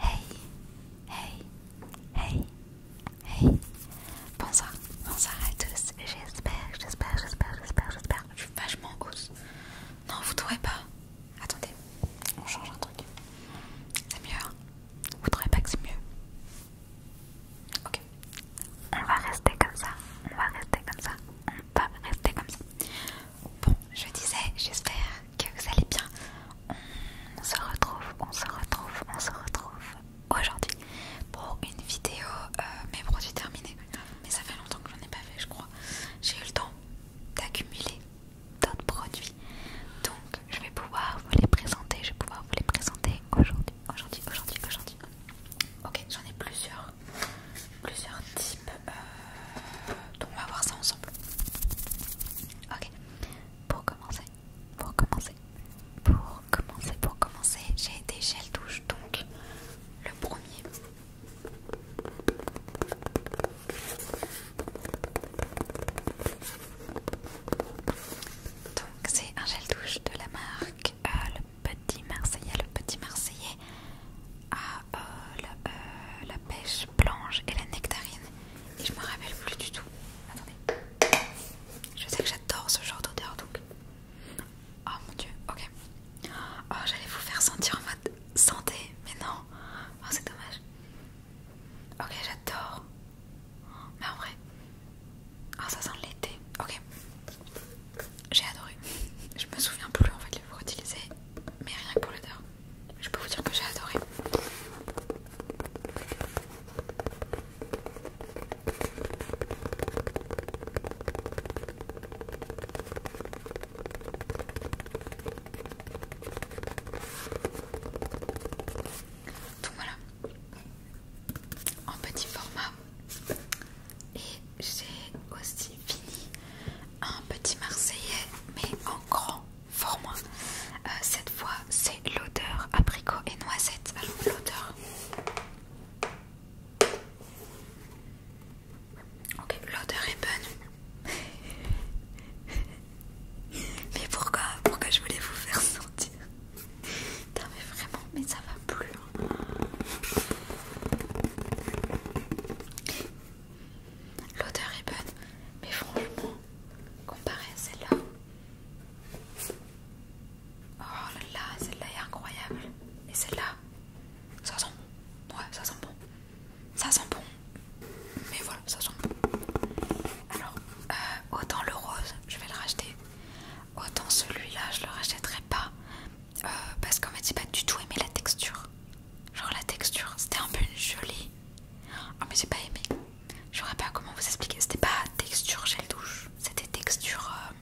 Hey, hey, hey, hey. Bonsoir, bonsoir à tous. J'espère, j'espère, j'espère, j'espère, j'espère. Je suis vachement grosse Non, vous trouvez pas Attendez, on change un truc. C'est mieux. Hein. vous trouvez pas que c'est mieux Ok. On va rester comme ça. On va rester comme ça. On va rester comme ça. Bon, je disais, j'espère que vous allez bien. On se retrouve, on se retrouve, on se retrouve aujourd'hui pour une vidéo euh, mes produits terminés. Mais ça fait longtemps que j'en ai pas fait, je crois. J'ai eu le temps d'accumuler d'autres produits. Donc, je vais pouvoir vous les présenter. Je vais pouvoir vous les présenter aujourd'hui, aujourd'hui, aujourd'hui, aujourd'hui. Ok, j'en ai plusieurs, plusieurs types. Euh, donc on va voir ça ensemble. Ok, pour commencer, pour commencer, pour commencer, pour commencer, j'ai des gels douche donc le premier. Donc c'est un gel douche de la marque euh, le Petit Marseillais, le Petit Marseillais euh, la, euh, la pêche blanche et la nectarine. Et je me rappelle plus du tout. Attendez. Je sais que j'adore ce genre d'odeur donc. Oh mon dieu, ok. Oh, j'allais vous faire sentir en mode santé, mais non. Oh, c'est dommage. Ok, j'adore. Mais en vrai. Oh, ça sent l'été. Ok. J'ai adoré. Je me souviens plus en fait les utiliser, mais rien que pour l'odeur. Je peux vous dire que j'ai adoré. Donc voilà, en petit format j'ai aussi fini un petit Marseillais, mais en grand format. Euh, cette fois, c'est l'odeur abricot et noisette. Alors, l'odeur. Ok, l'odeur est bonne. mais pourquoi Pourquoi je voulais vous faire sentir Non mais vraiment, mais ça va plus. Hein. L'odeur est bonne, mais franchement, comparé à celle-là. Oh là là, celle-là est incroyable. Et celle-là, ça sent bon. Ouais, ça sent bon. Ça sent bon. Mais voilà, ça sent bon. Alors, euh, autant le rose, je vais le racheter. Autant celui-là, je le rachèterai pas. Euh, parce qu'en m'a j'ai pas du tout aimé la texture. Genre la texture, c'était un peu une gelée. Oh mais j'ai pas aimé. Je sais pas comment vous expliquer. C'était pas texture gel douche, c'était texture, euh,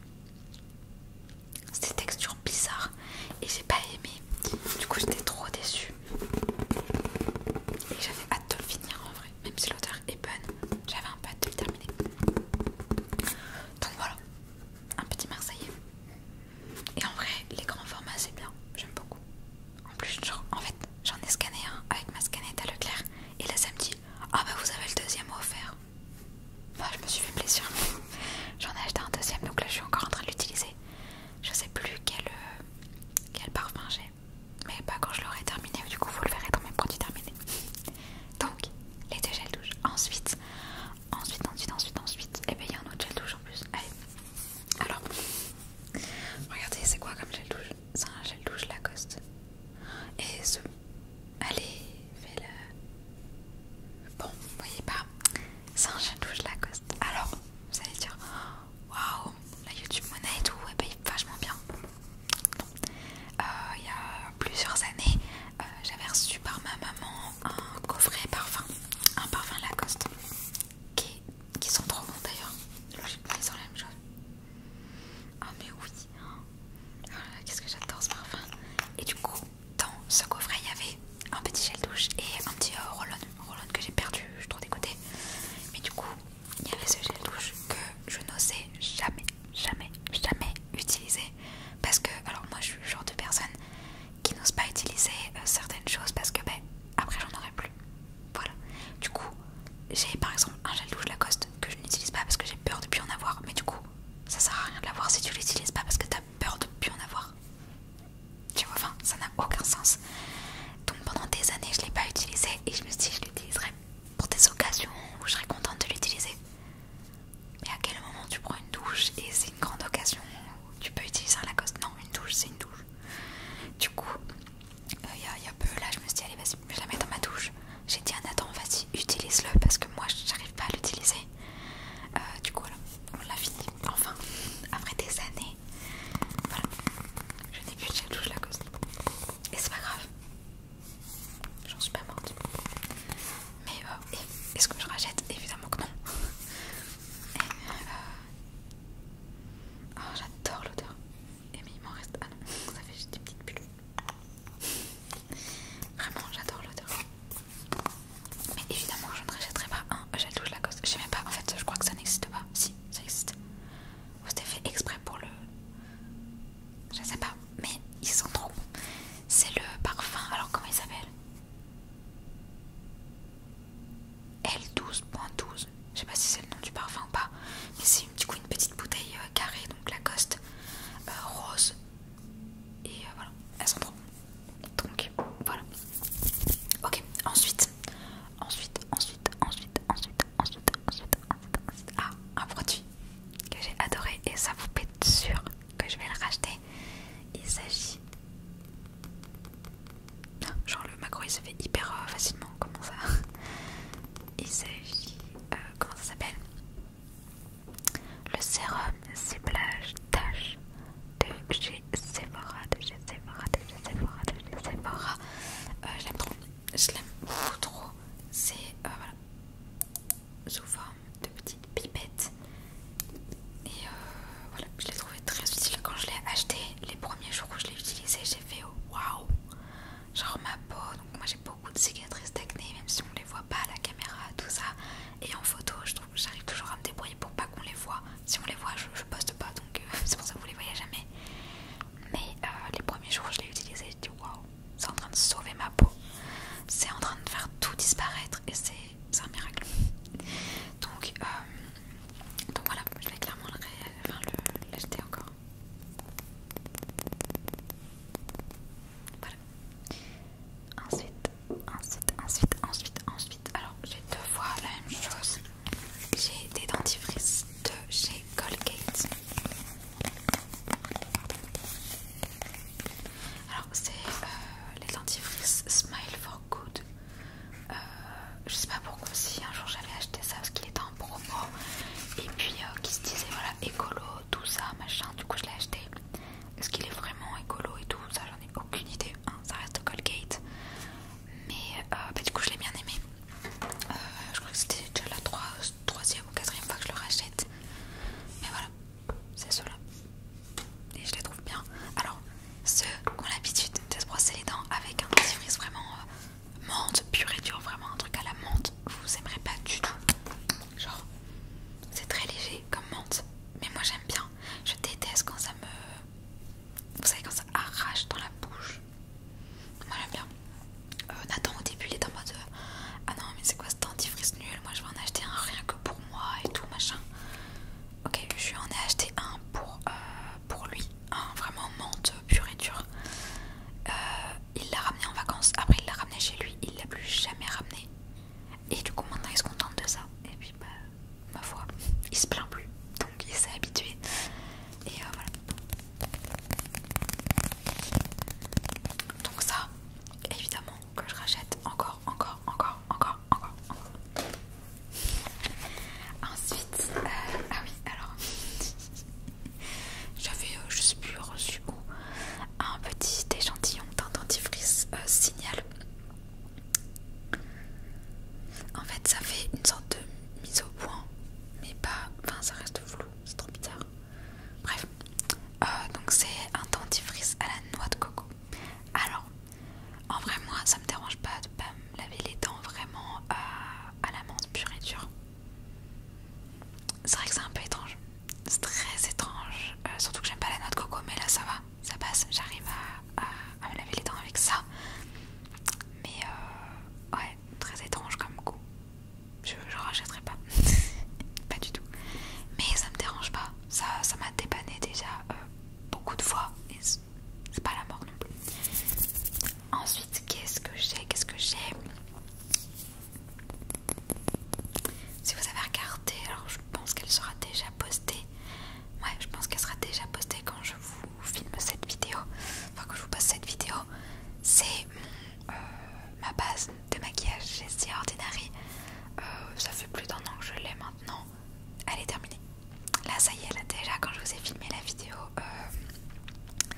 c'était texture bizarre et j'ai pas aimé. Du coup j'étais trop déçue. Et j'avais hâte de le finir en vrai, même si l'odeur est bonne, j'avais un peu hâte de le terminer. Donc voilà, un petit Marseillais. Et en vrai, les grands formats c'est bien, j'aime beaucoup. En plus, en fait, j'en ai scanné un avec ma scannette à Leclerc et là ça Ah bah vous avez le deuxième offert. je me suis fait plaisir. j'en ai acheté un deuxième donc là je suis encore en train de l'utiliser. Je sais plus quel, euh, parfum j'ai, mais pas quand je l'aurai terminé, du coup vous le verrez dans mes produits terminés. Donc, les deux gels douche. Ensuite, Ensuite, ensuite, ensuite, ensuite. Et eh bien il y a un autre gel douche en plus. Allez. Alors, regardez, c'est quoi comme gel douche C'est un gel douche Lacoste. Et ce. Allez, fais le. Bon, vous voyez pas C'est un gel douche Lacoste. Alors, vous allez dire Waouh, la YouTube monnaie et tout, elle eh ben, paye vachement bien. Euh, il y a plusieurs années, euh, j'avais reçu par ma maman un coffret parfum, un parfum Lacoste, qui, sont trop bons d'ailleurs. Logiquement, ils sont la même chose. Ah, mais oui! Hein. Ah qu'est-ce que j'adore ce parfum! Et du coup, dans ce coffret, il y avait un petit gel douche et un petit euh, roll que j'ai perdu, je suis trop dégoûtée. Mais du coup, il y avait ce gel douche que je n'osais jamais jamais, jamais utilisé Parce que, alors moi je suis le genre de personne qui n'ose pas utiliser euh, certaines choses parce que, ben, après j'en aurai plus. Voilà. Du coup, j'ai par exemple un gel douche Lacoste que je n'utilise pas parce que j'ai peur de plus en avoir. Mais du coup, ça sert à rien de l'avoir si tu l'utilises pas parce que as peur de plus en avoir. Tu vois, enfin, ça n'a aucun sens. Donc pendant des années, je l'ai pas utilisé et je me suis dit, je l'utiliserai pour des occasions où je serais contente de l'utiliser. Mais à quel moment tu prends une douche et c'est une grande occasion Tu peux utiliser un Lacoste Non, une douche, c'est une douche. Du coup, euh, il y, a peu là, je me suis dit, allez, vas-y, je la mets dans ma douche. J'ai dit attends vas-y, utilise-le parce que moi, j'arrive pas à l'utiliser. Euh, du coup, voilà, on l'a fini. Enfin, après des années, voilà, je n'ai plus de douche Lacoste. Et c'est pas grave. J'en suis pas morte. Mais euh, est-ce que je rachète Évidemment que non. Euh, oh, j'adore l'odeur. Et mais il m'en reste. Ah non, ça fait juste des petites bulles. Vraiment, j'adore l'odeur. Mais évidemment, je ne rachèterai pas un gel douche Lacoste. Je sais même pas, en fait, je crois que ça n'existe pas. Si, ça existe. C'était fait exprès pour le je sais pas, mais ils sont trop C'est le parfum, alors comment il s'appelle L12.12. Je sais pas si c'est le nom du parfum ou pas, mais c'est du coup une petite bouteille euh, carrée, donc Lacoste euh, rose. Et euh, voilà, elles sont trop Donc voilà. Ok, ensuite, ensuite, ensuite, ensuite, ensuite, ensuite, ensuite, ensuite, ensuite. Ah, un produit que j'ai adoré et ça vous pète sûr que je vais le racheter. Il s'agit. Genre le macro il se fait hyper euh, facilement, comment ça Il s'agit. Euh, comment ça s'appelle Le sérum ciblage tache de chez Sephora, de chez Sephora, de chez Sephora, de chez Sephora. Euh, je l'aime trop, je l'aime trop. C'est. voilà sous forme de petites pipettes. Et euh, voilà, je l'ai trouvé très utile quand je l'ai acheté. Les premiers jours où je l'ai utilisé, j'ai fait waouh! Genre ma peau, donc moi j'ai beaucoup de cicatrices d'acné, même si on les voit pas à la caméra, tout ça. Et en photo, je trouve j'arrive toujours à me débrouiller pour pas qu'on les voit. Si on les voit, je, poste pas, donc euh, c'est pour ça que vous les voyez jamais. Mais euh, les premiers jours où je l'ai utilisé, j'ai dit waouh! c'est en train de sauver ma peau, c'est en train de faire tout disparaître et c'est un miracle. Donc, euh, donc voilà, je vais clairement le enfin, l'acheter encore. Voilà. Ensuite, ensuite, ensuite, ensuite, ensuite. Alors j'ai deux fois la même chose. J'ai des dentifrices de chez Colgate. Alors c'est euh, les dentifrices Smile for Good. Euh, je sais pas pourquoi si un jour j'avais acheté ça parce qu'il était en promo et puis euh, qui se disait voilà écolo tout ça machin du coup je l'ai acheté. Est-ce qu'il est vraiment écolo et tout ça j'en ai aucune idée. Hein, ça reste Colgate. Mais bah, du coup je l'ai bien aimé. Euh, je crois que c'était déjà la troisième ou quatrième fois que je le rachète. Mais voilà, c'est ceux-là. Et je les trouve bien. Alors, ceux qui ont l'habitude de se brosser les dents avec un dentifrice vraiment euh, menthe, pur et dur, vraiment un truc à la menthe, vous aimerez pas du tout. Genre, c'est très léger comme menthe. Mais moi j'aime bien. Je déteste quand ça me. Vous savez, quand ça arrache dans la bouche. Moi j'aime bien. Euh, Nathan au début il était en mode euh, Ah non, mais c'est quoi ce dentifrice nul Moi je vais en acheter un rien que pour moi et tout machin. Ok, je lui en ai acheté un pour, euh, pour lui, un vraiment menthe pur et dure. il l'a ramené en vacances, après il l'a ramené chez lui, il l'a plus jamais ramené. Et du coup maintenant il se contente de ça. Et puis bah, ma foi, il se plaint plus. Donc il s'est habitué. Et voilà. Donc ça, évidemment que je rachète encore, encore, encore, encore, encore, Ensuite, euh, ah oui, alors j'avais, juste euh, je reçu un petit échantillon d'un dentifrice euh, signal. En fait, ça fait une sorte de mise au point, mais pas, enfin, ça reste c'est trop bizarre. Bref, euh, donc c'est un dentifrice à la noix de coco. Alors, en vrai, moi ça me dérange pas de pas me laver les dents vraiment euh, à la menthe pure et dure. C'est vrai que c'est un peu étrange, c'est très étrange, euh, surtout que j'aime pas la noix de coco, mais là ça va, ça passe, j'arrive à, me laver les dents avec ça. Mais ouais, très étrange comme coup Je, je rachèterai pas. pas du tout. Mais ça me dérange pas. Ça m'a dépanné déjà euh, beaucoup de fois. Et c'est pas la mort non plus. Ensuite, qu'est-ce que j'ai Qu'est-ce que j'ai Si vous avez regardé, alors je pense qu'elle sera déjà postée. Ouais, je pense qu'elle sera déjà postée quand je vous film cette vidéo, enfin que je vous passe cette vidéo, c'est euh, ma base de maquillage j'ai Si Ordinary. Euh, ça fait plus d'un an que je l'ai maintenant. Elle est terminée. Là, ça y est, là déjà, quand je vous ai filmé la vidéo, euh,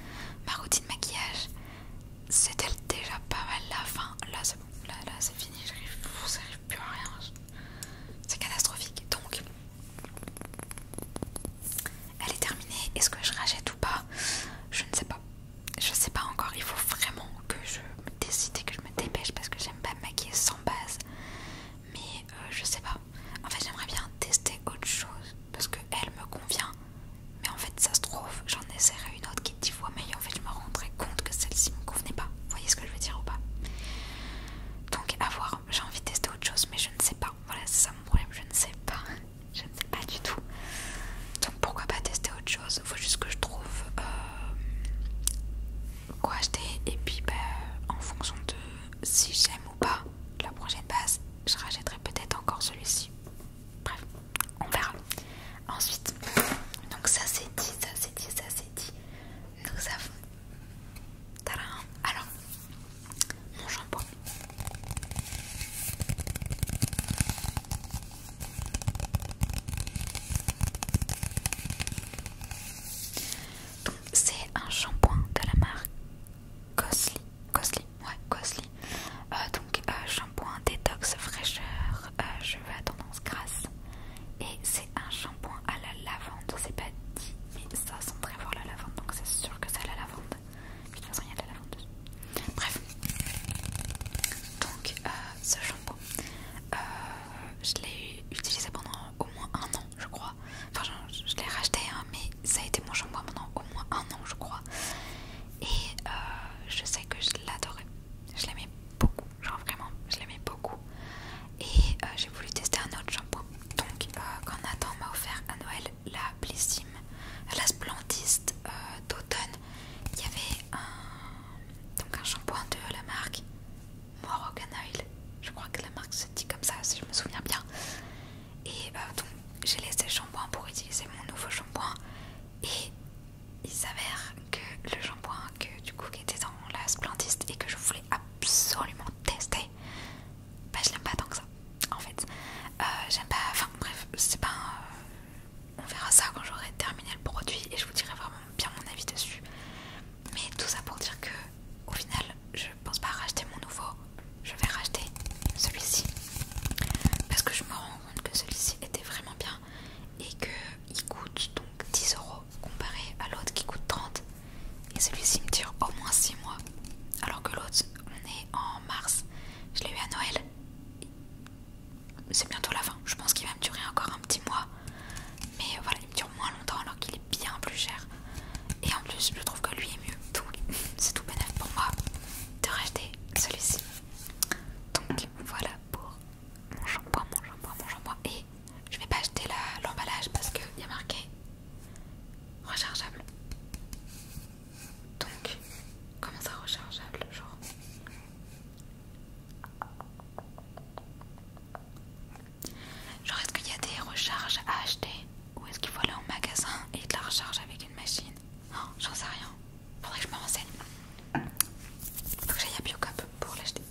ma routine maquillage, c'était déjà pas mal la fin. Là, c'est bon, là, là c'est fini, n'arrive plus à rien. C'est catastrophique. Donc, elle est terminée. Est-ce que je rachète ou pas Je ne sais pas. Je sais pas encore. Il faut vraiment que je me décide et que je me dépêche parce que j'aime pas me maquiller sans base. Mais je euh, je sais pas. En fait, j'aimerais bien tester autre chose parce que elle me convient. Mais en fait, ça se trouve, j'en essaierai une autre qui est 10 fois mais En fait, je me rendrai compte que celle-ci me convenait pas. Vous voyez ce que je veux dire ou pas Donc, à voir j'ai envie de tester autre chose mais je ne sais pas voilà c'est ça mon problème je ne sais pas je ne sais pas du tout donc pourquoi pas tester autre chose faut juste que je trouve euh, quoi acheter et puis bah, en fonction de si j'aime ou pas la prochaine base je rachèterai peut-être encore celui-ci bref on verra ensuite donc ça c'est dit ça c'est dit ça c'est dit nous avons Tadam Alors, mon shampoing. Donc, c'est un shampoing de la marque Cosly. Cosly, ouais, Cosly. Euh, donc, euh, shampoing détox fraîcheur, euh, cheveux à tendance grasse. Et c'est un shampoing à la lavande. C'est pas dit, mais ça sent très fort la lavande, donc c'est sûr que c'est la lavande. De toute façon, il y a de la lavande Bref, donc euh, ce shampoing, euh, je l'ai utilisé pendant au moins un an, je crois. Enfin, je, l'ai racheté, hein, mais ça a été mon shampoing pendant au moins un an, je crois. Et euh, je sais que je l'adorais. Je l'aimais beaucoup, genre vraiment, je l'aimais beaucoup et euh, j'ai voulu tester un autre shampoing. Donc, euh, quand Nathan m'a offert à Noël la Blissime, la Splendiste euh, d'automne, il y avait un, shampoing de la marque Moroccan Oil. Je crois que la marque se dit comme ça, si je me souviens bien. Et donc, j'ai laissé le shampoing pour utiliser mon nouveau shampoing. Et il s'avère que le shampoing que du coup qui était dans la splendiste et que je voulais absolument tester bah je l'aime pas tant que ça en fait. Euh, j'aime pas, enfin bref, c'est pas. on verra ça quand j'aurai terminé le produit et je vous dirai vraiment bien mon avis dessus. Mais tout ça pour dire que au final, je pense pas racheter mon nouveau, je vais racheter celui-ci parce que je me rends compte que celui-ci était vraiment bien et qu'il coûte donc 10 euros comparé à l'autre qui coûte 30 et celui-ci me dure au moins six mois alors que l'autre on est en mars je l'ai eu à Noël c'est bientôt la fin je pense qu'il va me durer encore un petit mois mais voilà il me dure moins longtemps alors qu'il est bien plus cher et en plus je trouve que lui est mieux tout, c'est tout bénéfique pour moi de racheter celui-ci donc voilà pour mon shampoing, mon mon et je vais pas acheter l'emballage parce qu'il y a marqué rechargeable. Donc, comment ça rechargeable genre Genre est-ce qu'il y a des recharges à acheter ou est-ce qu'il faut aller en magasin et de la recharge avec une machine Non, J'en sais rien. Faudrait que je me renseigne. Faut que j'aille à Biocop pour l'acheter.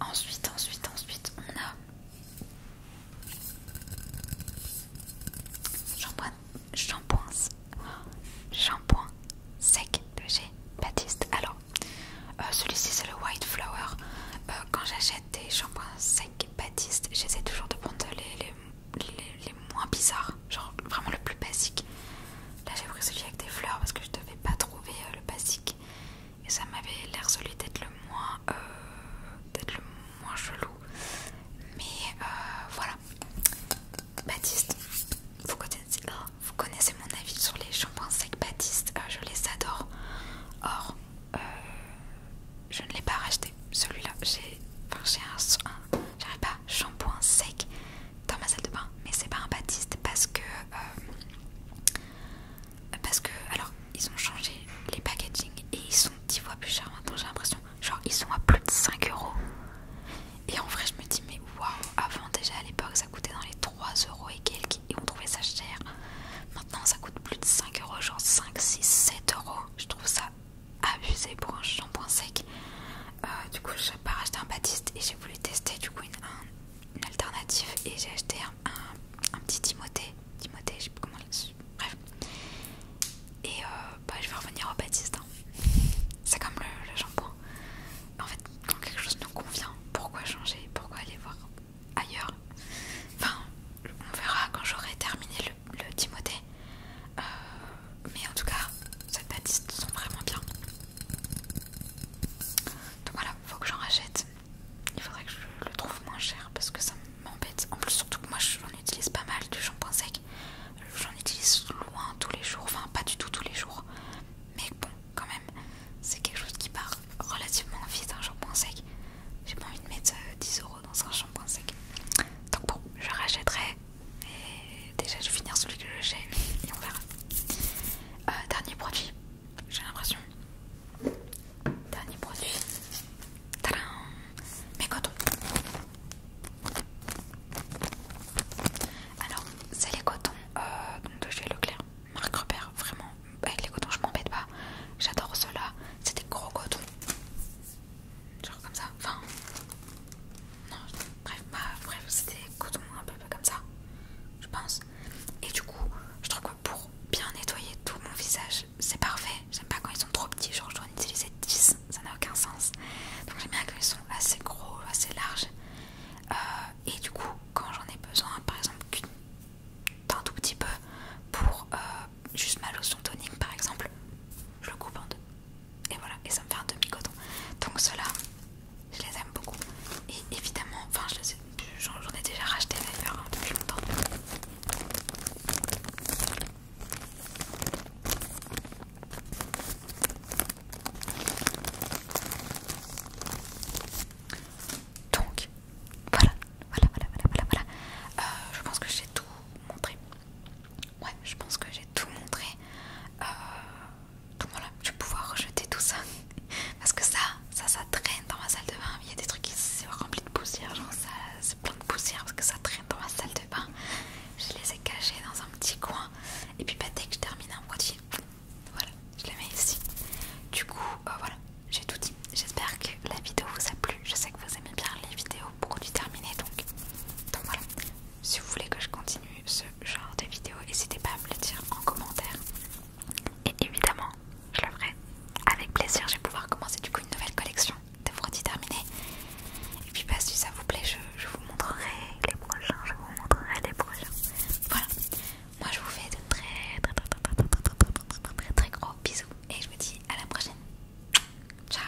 Ensuite, ensuite, ensuite, on a. Shampoing, shampoing, shampoing sec de chez Baptiste. Alors, euh, celui-ci c'est le White Flower. Euh, quand j'achète des shampoings secs Baptiste, j'essaie toujours de prendre les, les, moins bizarres, genre vraiment le plus basique. Là j'ai pris celui avec des fleurs parce que je ne devais pas trouver euh, le basique et ça m'avait l'air celui d'être le moins euh, d'être le moins chelou mais euh, voilà Baptiste ah, vous connaissez, mon avis sur les shampoings secs Baptiste euh, je les adore or je ne l'ai pas racheté celui-là j'ai enfin, un, un pas shampoing sec dans ma salle de bain mais c'est pas un Baptiste parce que parce que, alors, ils ont changé les packaging et ils sont 10 fois plus chers maintenant, j'ai l'impression. Genre, ils sont à plus de 5 euros. Et en vrai, je me dis, mais waouh, avant déjà à l'époque, ça coûtait dans les 3 euros et quelques et on trouvait ça cher. Maintenant, ça coûte plus de 5 euros, genre 5, 6, 7 euros. Je trouve ça abusé pour un shampoing sec. Euh, du coup, je pas acheter un Baptiste et j'ai voulu tester du coup une, une alternative et j'ai acheté un, petit Timothée. Timothée, je sais plus comment. Bref. Et euh, bah, je vais revenir au Baptiste. Hein. C'est comme le, shampoing, En fait, quand quelque chose nous convient, pourquoi changer Pourquoi aller voir ailleurs Enfin, on verra quand j'aurai terminé le, le Timothée. Euh, mais en tout cas, ces Baptistes sont vraiment bien. Donc voilà, faut que j'en rachète. Il faudrait que je le trouve moins cher parce que ça m'embête. En plus, surtout que moi j'en utilise pas mal du shampoing sec. J'en utilise loin tous les jours, enfin pas du tout tous les jours. Mais bon, quand même, c'est quelque chose qui part relativement vite un shampoing sec. J'ai pas envie de mettre 10 euh, euros dans un shampoing sec. Donc bon, je rachèterai. Et déjà je vais finir celui que j'ai et on verra. Euh, dernier produit, j'ai l'impression. Dernier produit. Tadam Mes cotons. Alors, c'est les cotons euh, je de chez Leclerc, marque repère. Vraiment, avec les cotons, je m'embête pas. J'adore ceux-là. C'est des gros cotons. Genre comme ça. Enfin, non, bref, bah, bref c'était coton un peu, comme ça, je pense. Et du coup, je trouve que pour bien nettoyer tout mon visage, c'est parfait. J'aime pas quand ils sont trop petits, genre je dois en utiliser 10, ça n'a aucun sens. Donc j'aime bien quand ils sont assez gros, assez larges. Euh, et du coup, quand j'en ai besoin, par exemple, d'un tout petit peu pour euh, juste ma lotion tonique, par exemple, je le coupe en deux et voilà, et ça me fait un demi-coton. Donc ceux-là, je les aime beaucoup. Et évidemment, enfin j'en ai, déjà racheté d'ailleurs hein, depuis longtemps. Donc voilà, voilà, voilà, voilà, voilà. voilà. Euh, je pense que j'ai tout montré. Ouais, je pense que j'ai tout montré. tout euh, donc voilà, je vais pouvoir rejeter tout ça. Parce que ça, ça, ça traîne dans ma salle de bain. Il y a des trucs qui sont remplis de poussière, genre ça, c'est plein de poussière parce que ça traîne dans ma salle de bain. Je les ai cachés dans un petit coin. Et puis bah, dès que je termine un produit, voilà, je les mets ici. Du coup, euh, voilà, j'ai tout dit. J'espère que la vidéo vous a plu. Je sais que vous aimez bien les vidéos produits du donc, donc voilà si vous voulez que je continue ce genre de vidéo, n'hésitez pas à me le dire en commentaire. Et évidemment, je le ferai avec plaisir. Je vais pouvoir commencer du coup une nouvelle collection de produits terminés. Et puis, bah, si ça vous plaît, je, vous montrerai les prochains. Je vous montrerai les prochains. Voilà. Moi, je vous fais de très, très, très, très, très, très gros bisous. Et je vous dis à la prochaine. Ciao.